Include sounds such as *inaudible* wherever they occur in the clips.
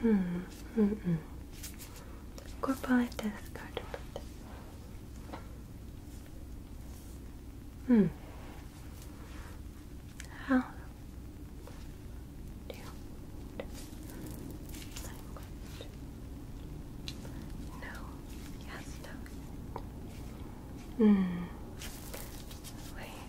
Hmm. Mm -mm. Corpalitis cardiopathy. Hmm. How do you language? Yes. No. Hmm. Wait.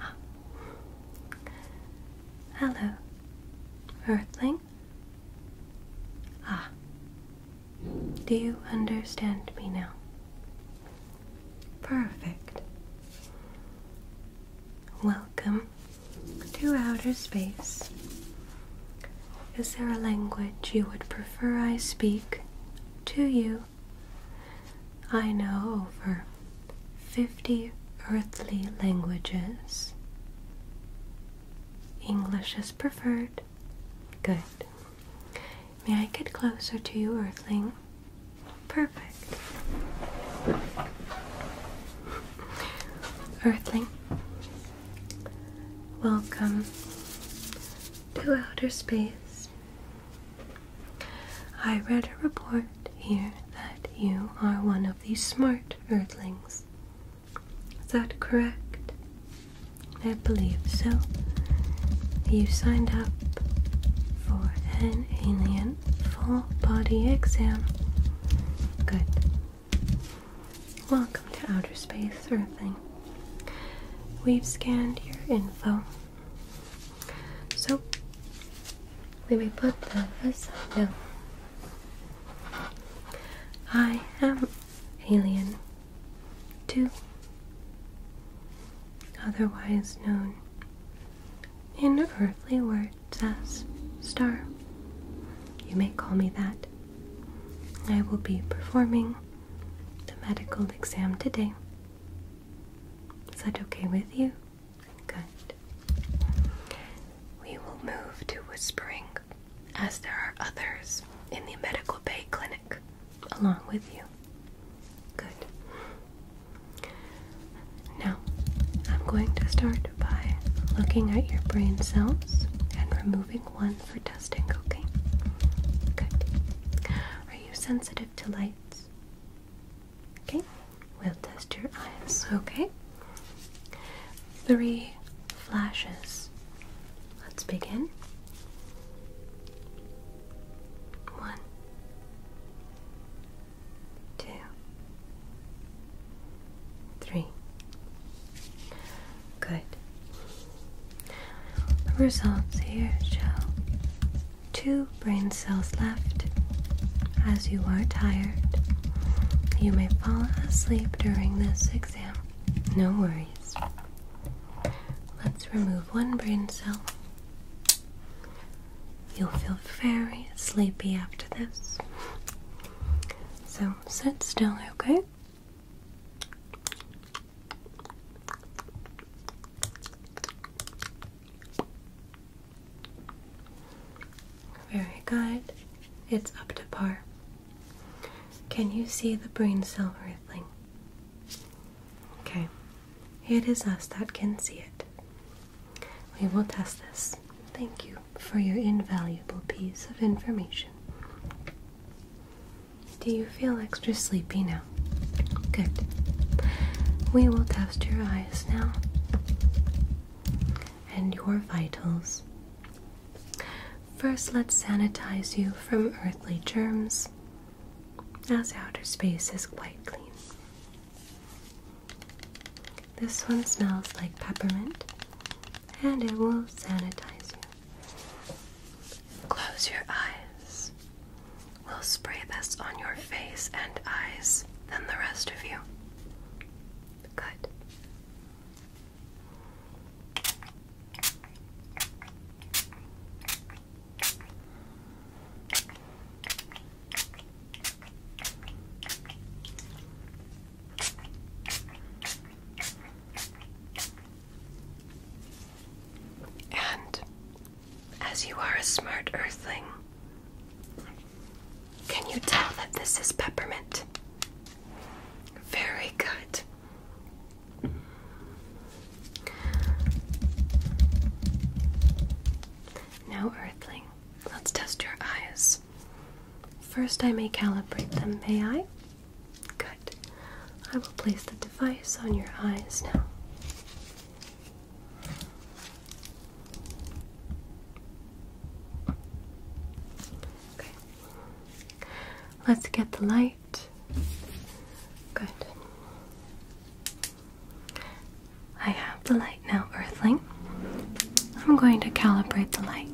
Ah. Hello, Earthling. Ah, do you understand me now? Perfect. Welcome to outer space. Is there a language you would prefer I speak to you? I know over 50 earthly languages. English is preferred. Good. May I get closer to you, Earthling? Perfect. Earthling, Welcome to outer space. I read a report here that you are one of these smart earthlings. Is that correct? I believe so. You signed up for an alien full body exam. Good. Welcome to Outer Space Earthling. We've scanned your info. So, we may put that aside now. I am alien too, otherwise known in earthly words as star. You may call me that. I will be performing the medical exam today. Is that okay with you? Good. We will move to whispering as there are others in the medical bay clinic along with you. Good. Now, I'm going to start by looking at your brain cells and removing one for testing, okay? Good. Are you sensitive to lights? Okay, we'll test your eyes, okay? Three flashes. Let's begin. One, two, Three. Good. The results here show two brain cells left. As you are tired, you may fall asleep during this exam. No worries. Let's remove one brain cell. You'll feel very sleepy after this. So sit still, okay? Very good. It's up to par. Can you see the brain cell wriggling? Okay, it is us that can see it. We will test this. Thank you for your invaluable piece of information. Do you feel extra sleepy now? Good. We will test your eyes now and your vitals. First, let's sanitize you from earthly germs, as outer space is quite clean. This one smells like peppermint and it will sanitize you. Close your eyes. We'll spray this on your face and eyes, then the rest of you. Good. And as you are a smart earthling, can you tell that this is peppermint? Very good. Now, earthling, let's test your eyes. First, I may calibrate them, may I? Good. I will place the device on your eyes now. Okay. Let's get the light. Good. I have the light now, Earthling. I'm going to calibrate the light.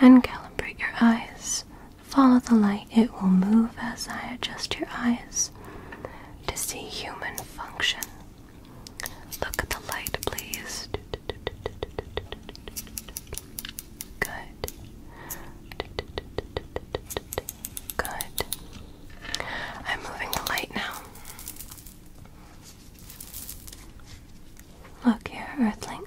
And calibrate your eyes. Follow the light, it will move as I adjust your eyes to see human function. Look at the light, please. Good. Good. I'm moving the light now. Look here, Earthling.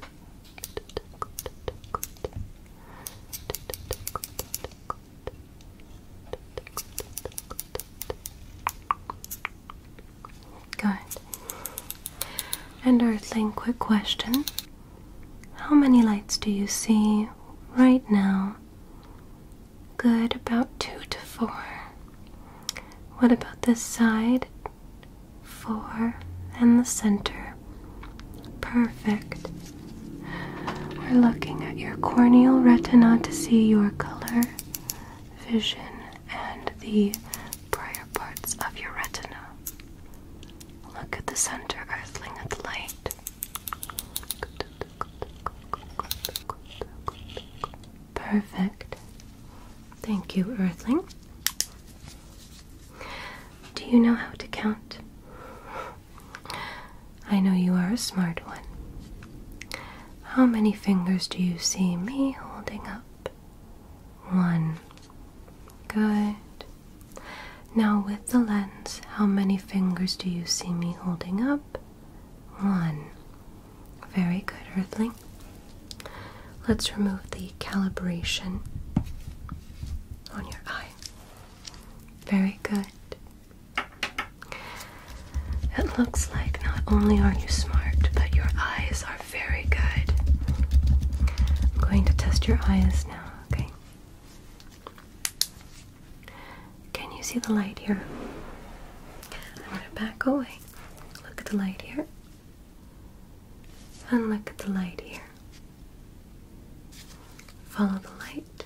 Good. And Earthling, quick question. How many lights do you see right now Good, about two to four. What about this side? Four and the center. Perfect. We're looking at your corneal retina to see your color, vision, and the prior parts of your retina. Look at the center, earthling at the light. Perfect. Thank you, Earthling. Do you know how to count? I know you are a smart one. How many fingers do you see me holding up? One. Good. Now, with the lens, how many fingers do you see me holding up? one. Very good, Earthling. Let's remove the calibration on your eye. Very good. It looks like not only are you smart, but your eyes are very good. I'm going to test your eyes now, okay? Can you see the light here? I'm to back away. Look at the light here. And look at the light here. Follow the light.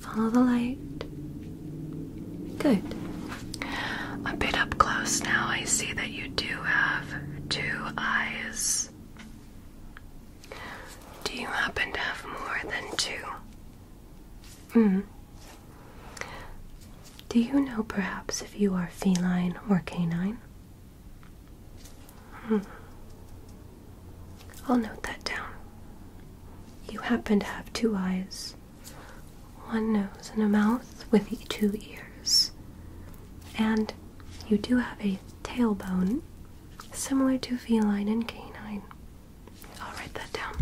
Follow the light. Good. A bit up close now, I see that you do have two eyes. Do you happen to have more than two? Mm-hmm. Do you know perhaps if you are feline or canine? Hmm. I'll note that down. You happen to have two eyes, one nose, and a mouth with two ears. And you do have a tailbone similar to feline and canine. I'll write that down.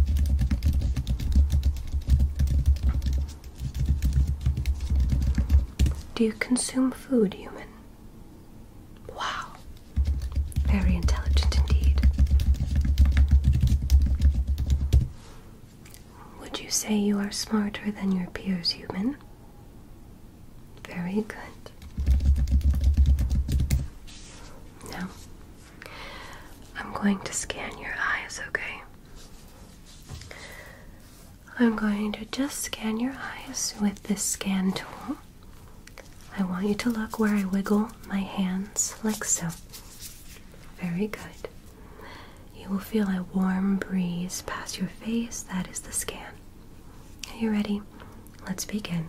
Do you consume food, human? Wow. Very intelligent indeed. Would you say you are smarter than your peers, human? Very good. Now, I'm going to scan your eyes, okay? I'm going to just scan your eyes with this scan tool. I want you to look where I wiggle my hands, like so. Very good. You will feel a warm breeze pass your face. That is the scan. Are you ready? Let's begin.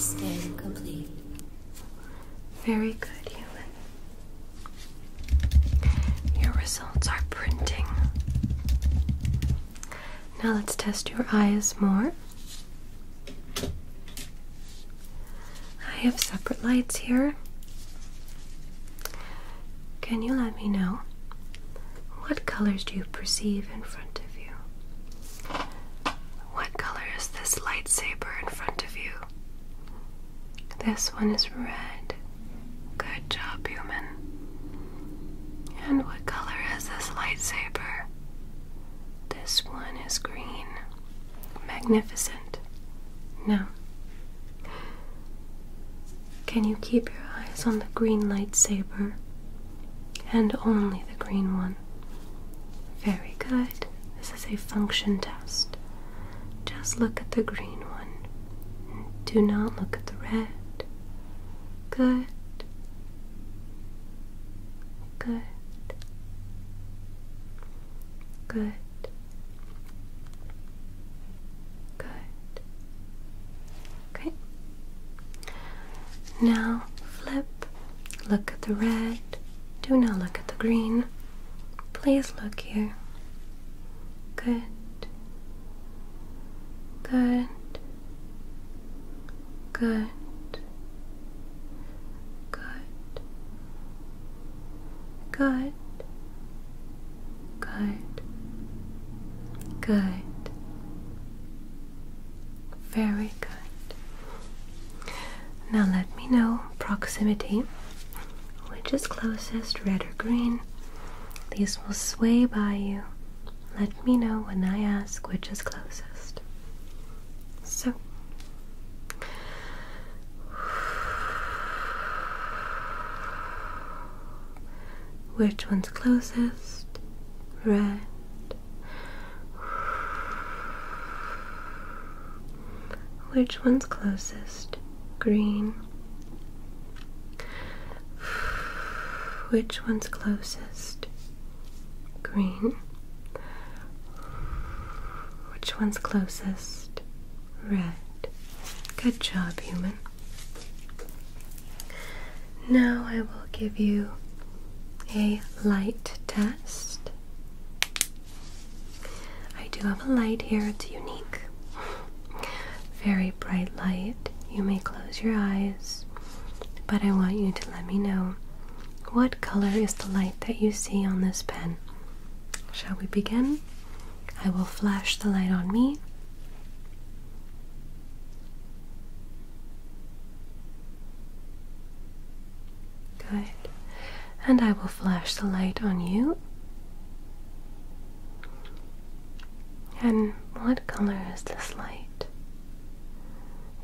Scan complete. Very good, human. Your results are printing. Now let's test your eyes more. I have separate lights here. Can you let me know? What colors do you perceive in front of you? What color is this lightsaber in front of you? This one is red. Good job, human. And what color is this lightsaber? This one is green. Magnificent. No. Can you keep your eyes on the green lightsaber? And only the green one. Very good. This is a function test. Just look at the green one. Do not look at the red. Good. Good. Good. Good. Okay. Now flip. Look at the red. Do not look at the green. Please look here. Good. Good. Good. Good. Good. Good. Good. Very good. Now let me know proximity. Which is closest, red or green? These will sway by you. Let me know when I ask which is closest. So, which one's closest? Red. Which one's closest? Green. Which one's closest? Green. Which one's closest? Red. Good job, human. Now I will give you a light test. I do have a light here, it's unique. Very bright light. You may close your eyes, but I want you to let me know what color is the light that you see on this pen. Shall we begin? I will flash the light on me. Good. And I will flash the light on you. And what color is this light?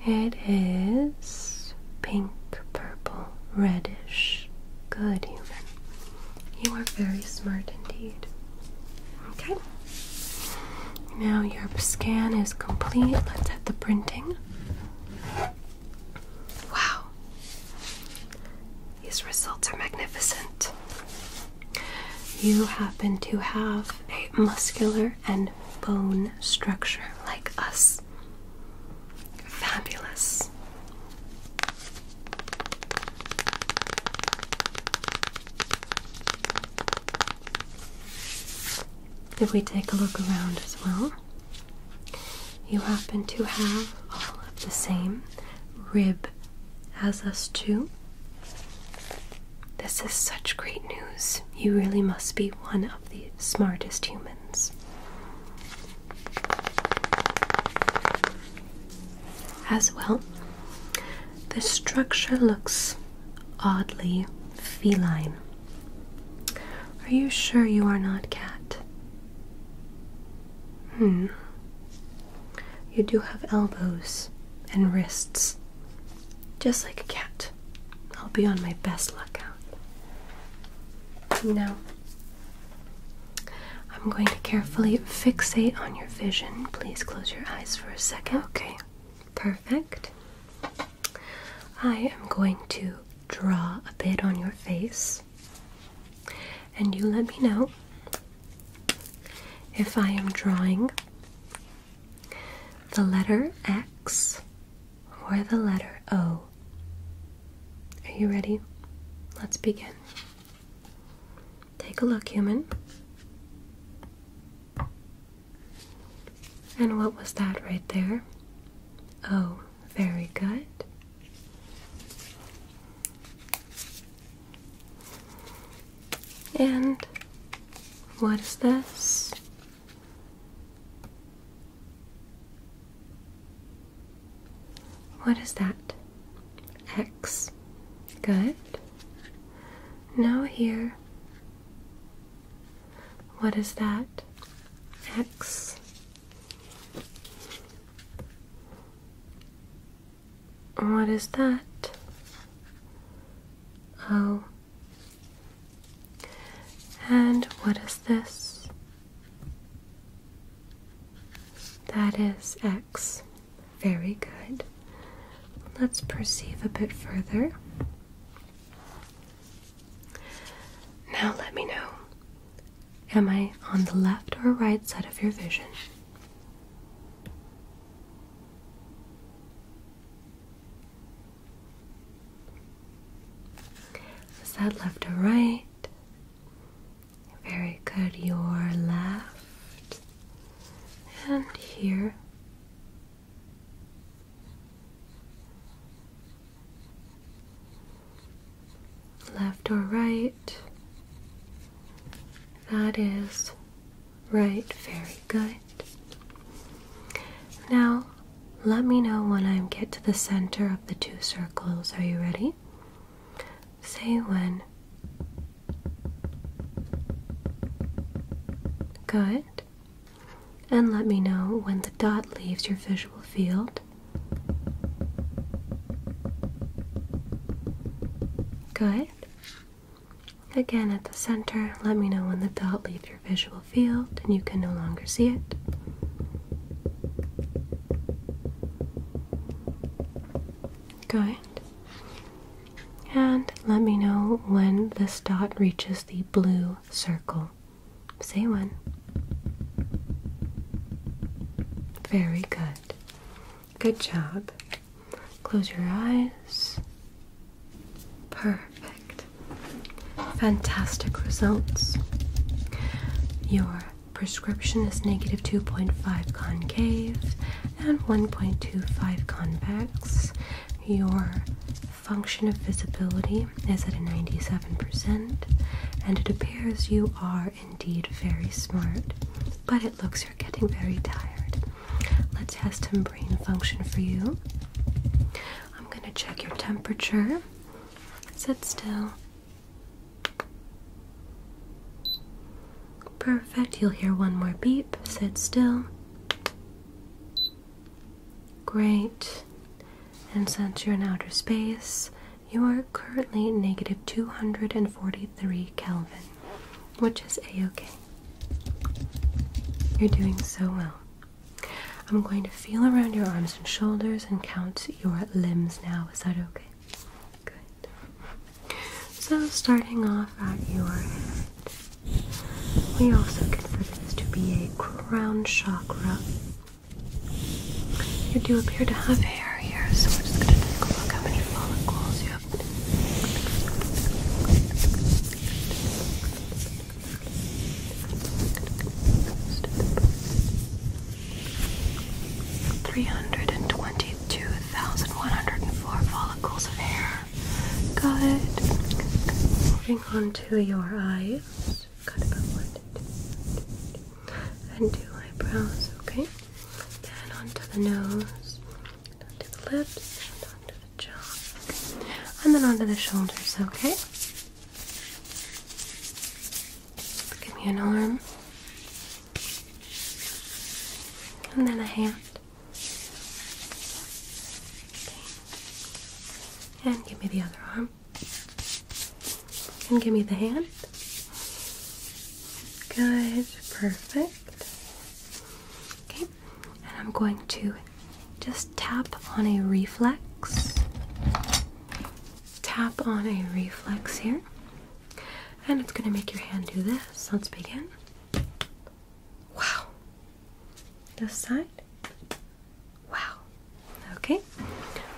It is pink purple reddish, good human. You are very smart indeed. Okay. Now your scan is complete. Let's hit the printing. Wow. These results are magnificent. You happen to have a muscular and bone structure like us. Fabulous. If we take a look around as well, you happen to have all of the same rib as us too. This is such great news. You really must be one of the smartest humans. As well, the structure looks oddly feline. Are you sure you are not cat? Hmm. You do have elbows and wrists, just like a cat. I'll be on my best lookout. Now, I'm going to carefully fixate on your vision. Please close your eyes for a second. Okay, perfect. I am going to draw a bit on your face, and you let me know if I am drawing the letter X or the letter O are you ready? Let's begin. Take a look, human. And what was that right there? Oh, very good. And what is this? What is that? X. Good. Now here. What is that? X. What is that? O. Oh. And what is this? That is X. Very good. Let's perceive a bit further. Now let me know. Am I on the left or right side of your vision? Is that left or right? Very good. Your left and here. Left or right? That is right. Very good. Now let me know when I get to the center of the two circles. Are you ready? Say when. Good. And let me know when the dot leaves your visual field. Good. Again, at the center, let me know when the dot leaves your visual field and you can no longer see it. Good. And let me know when this dot reaches the blue circle. Say when. Very good. Good job. Close your eyes. Perfect. Fantastic results. Your prescription is negative 2.5 concave and 1.25 convex. Your function of visibility is at a 97%, and it appears you are indeed very smart, but it looks you're getting very tired. Let's test some brain function for you. I'm going to check your temperature. Sit still. Perfect. You'll hear one more beep. Sit still. Great. And since you're in outer space, you are currently negative 243 Kelvin, which is a okay. You're doing so well. I'm going to feel around your arms and shoulders and count your limbs now. Is that okay? Good. So, starting off at your head, we also consider this to be a crown chakra. You do appear to have hair here, so we're just going to take a look how many follicles you have. 322,104 follicles of hair. Good. Moving on to your eyes. Got about one, two, three, and two eyebrows, okay? Then onto the nose, onto the lips, and onto the jaw, and then onto the shoulders, okay? Give me an arm. And then a hand. And give me the other arm. And give me the hand. Good, perfect. Okay, and I'm going to just tap on a reflex. Tap on a reflex here. And it's going to make your hand do this. Let's begin. Wow. This side. Wow. Okay.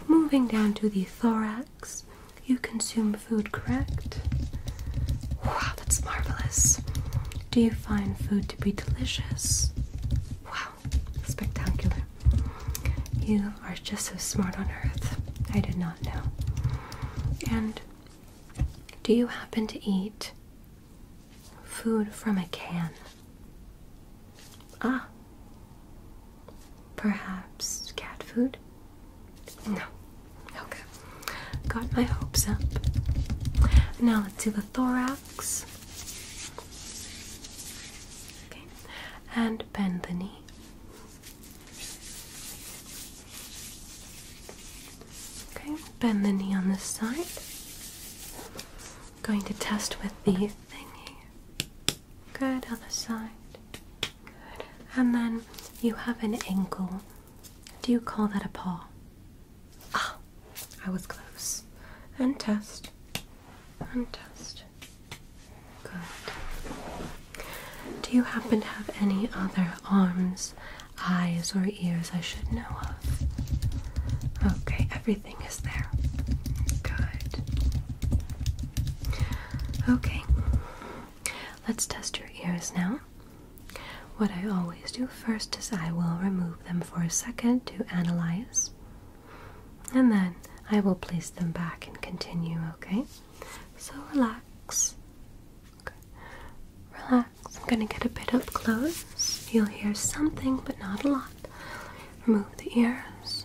Moving down to the thorax. You consume food, correct? Wow, that's marvelous. Do you find food to be delicious? Wow, spectacular. You are just so smart on earth. I did not know. And do you happen to eat food from a can? Ah. Perhaps cat food? No. Okay. Got my hopes up. Now let's do the thorax. Okay, and bend the knee. Okay, bend the knee on this side. Going to test with the thingy. Good, other side. Good. And then you have an ankle. Do you call that a paw? Ah, I was close. And test. And test. Good. Do you happen to have any other arms, eyes, or ears I should know of? Okay, everything is there. Good. Okay, let's test your ears now. What I always do first is I will remove them for a second to analyze. And then I will place them back and continue, okay? So relax. Relax. I'm going to get a bit up close. You'll hear something, but not a lot. Remove the ears.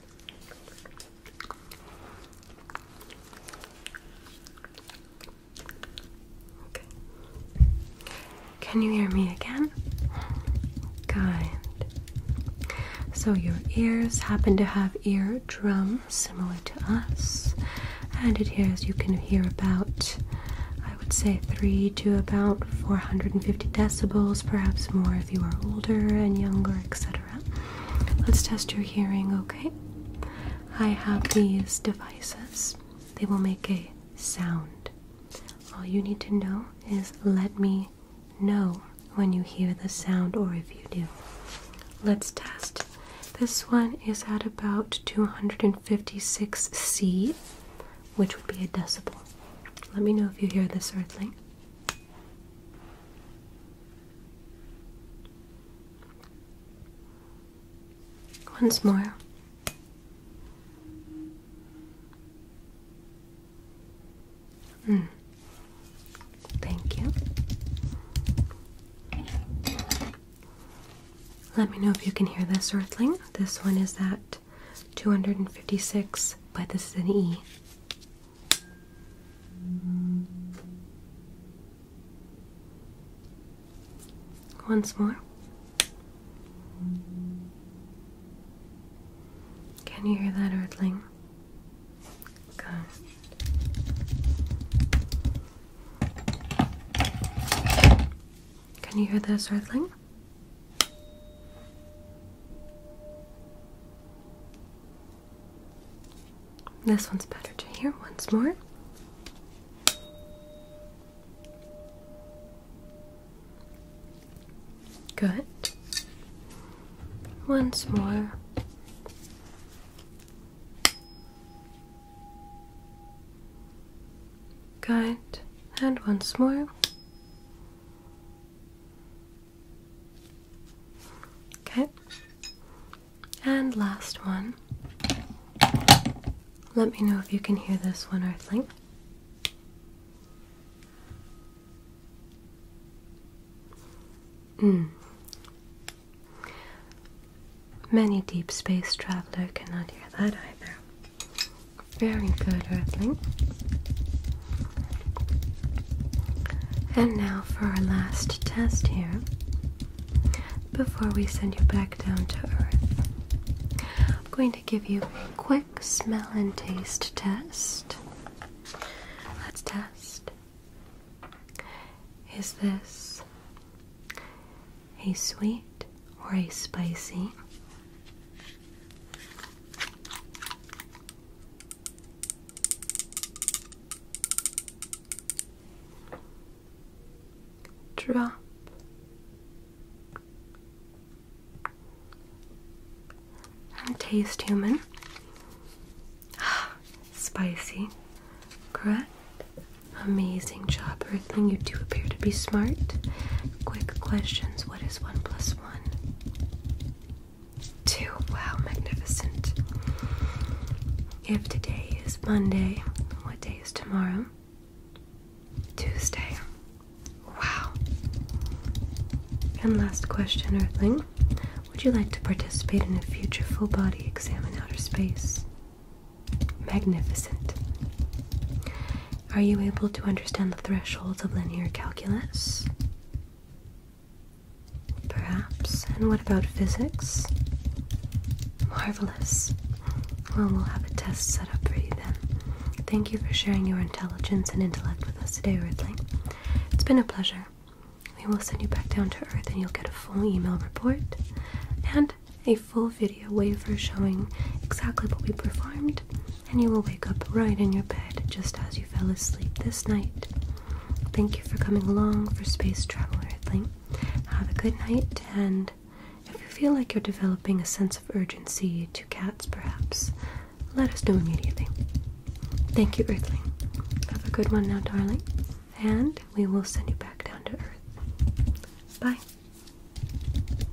Can you hear me again? Good. So your ears happen to have ear eardrums similar to us, and it hears you can hear about, I would say, three to about 450 decibels, perhaps more if you are older and younger, etc. Let's test your hearing, okay? I have these devices. They will make a sound. All you need to know is let me know when you hear the sound or if you do. Let's test. This one is at about 256C, which would be a decibel. Let me know if you hear this earthling. Once more. Mm. Thank you. Let me know if you can hear this, Earthling. This one is that 256, but this is an E. Once more. Can you hear that, Earthling? Can you hear this, Earthling? This one's better to hear once more. Good. Once more. Good. And once more. Okay. And last one. Let me know if you can hear this one, Earthling. Mm. Many deep space traveler cannot hear that either. Very good, Earthling. And now for our last test here. Before we send you back down to Earth, I'm going to give you a quick smell and taste test. Let's test. Is this a sweet or a spicy? Drop taste human. *sighs* Spicy, correct? Amazing job, Earthling. You do appear to be smart. Quick questions What is 1 one? one, two. Wow, magnificent. If today is Monday, what day is tomorrow? Tuesday. Wow. And last question, Earthling. Would you like to participate in a future full body exam in outer space? Magnificent. Are you able to understand the thresholds of linear calculus? Perhaps. And what about physics? Marvelous. Well, we'll have a test set up for you then. Thank you for sharing your intelligence and intellect with us today, Ridley. It's been a pleasure. We will send you back down to Earth and you'll get a full email report and a full video waiver showing exactly what we performed and you will wake up right in your bed just as you fell asleep this night. Thank you for coming along for Space Traveler Earthling. Have a good night, and if you feel like you're developing a sense of urgency to cats, perhaps, let us know immediately. Thank you, Earthling. Have a good one now, darling, and we will send you back down to Earth. Bye.